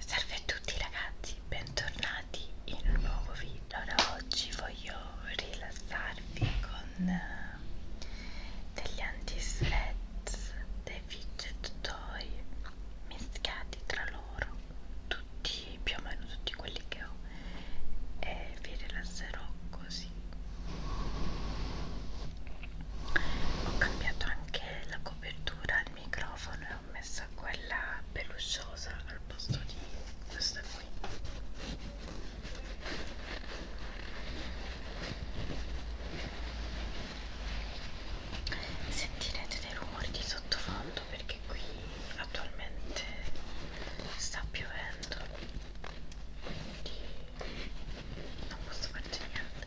Salve a tutti ragazzi, bentornati in un nuovo video. Allora, oggi voglio rilassarvi con eh, degli anti-sweats, dei fidget toy mischiati tra loro, tutti più o meno tutti quelli che ho, e vi rilasserò così. Ho cambiato anche la copertura al microfono e ho messo quella pelusciosa al posto di questa qui sentirete dei rumori di sottofondo perché qui attualmente sta piovendo quindi non posso farci niente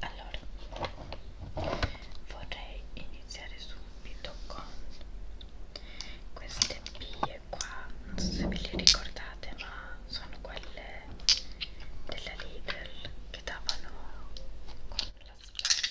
allora vorrei iniziare subito con queste pie qua non so se ve le ricordate ma sono quelle della Lidl che davano con la spesa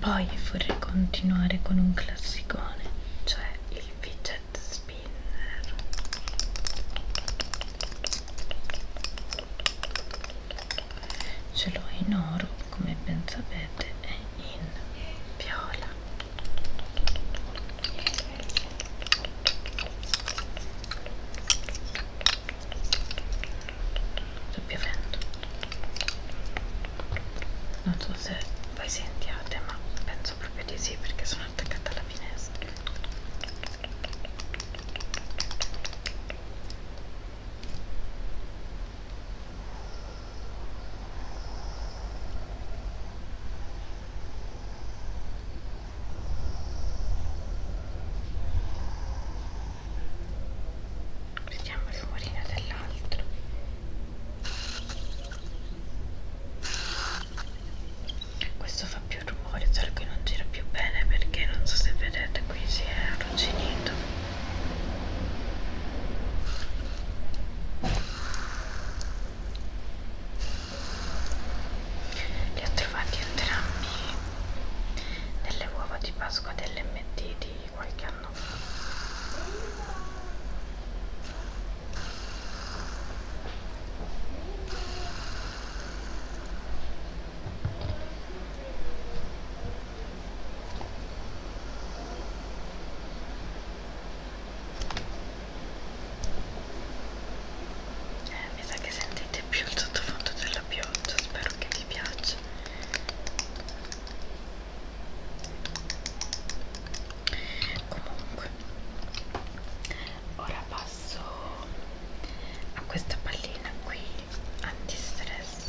poi vorrei continuare con un classicone cioè il fidget spinner ce l'ho in oro come ben sapete e in viola sta piovendo non so se voi sentiate ma penso proprio di sì perché sono attaccata alla finestra vediamo il rumorino dell'altro questo fa più rumore solo che non gira più bene perché non so se vedete qui si è arrugginito li ho trovati entrambi nelle uova di Pasqua dell'MT di qualche anno fa. Eh, mi sa che sentite più il sottofondo della pioggia spero che vi piaccia comunque ora passo a questa pallina qui antistress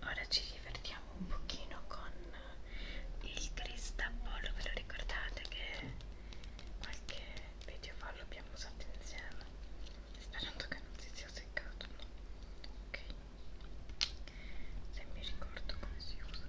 Ora ci divertiamo un pochino con il cristapollo, ve lo ricordate che qualche video fa l'abbiamo usato insieme? Sperando che non si sia seccato, no? Ok, se mi ricordo come si usa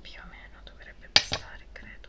più o meno dovrebbe bastare credo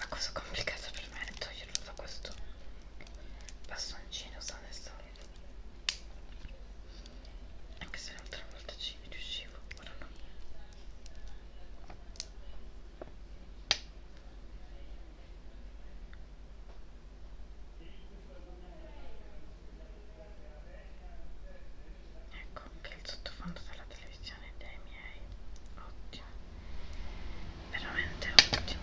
La cosa complicata per me è toglierlo da questo bastoncino, sta adesso anche se l'altra volta ci riuscivo ora no ecco anche il sottofondo della televisione dei miei ottimo veramente ottimo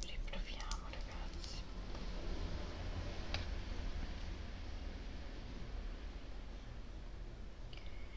Riproviamo ragazzi.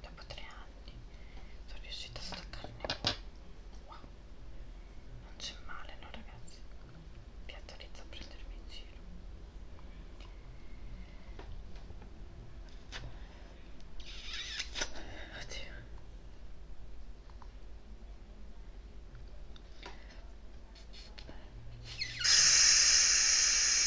dopo tre anni sono riuscita a staccarne wow non c'è male no ragazzi vi autorizzo a prendermi in giro oddio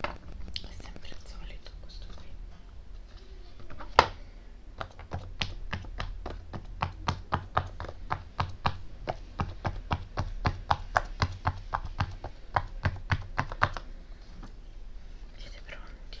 è sempre il solito questo qui siete pronti?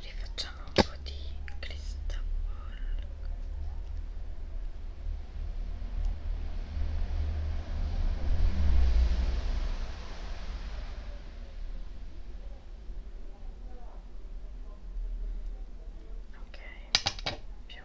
Rifacciamo un po' di crystal ball. Ok, più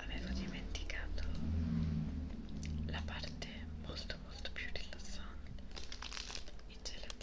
Avevo dimenticato la parte molto molto più rilassante. Il gelato.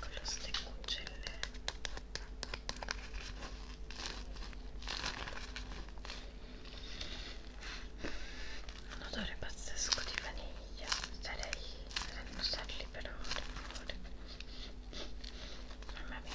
con lo steccuccelle un odore pazzesco di vaniglia starei a annusarli per ore mamma mia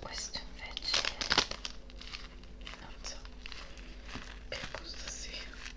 questo invece non so che gusto sia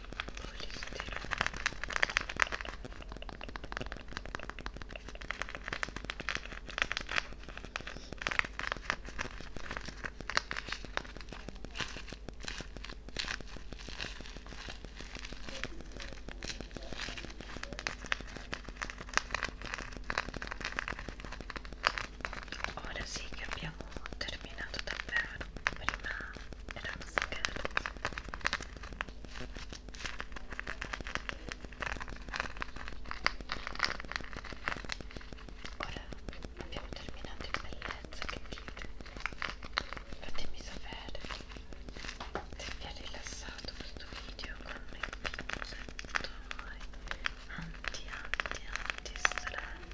Ora sì che abbiamo terminato davvero, prima era uno scherzo ora abbiamo terminato in bellezza che dite fatemi sapere se vi ha rilassato questo video con me anti anti anti stress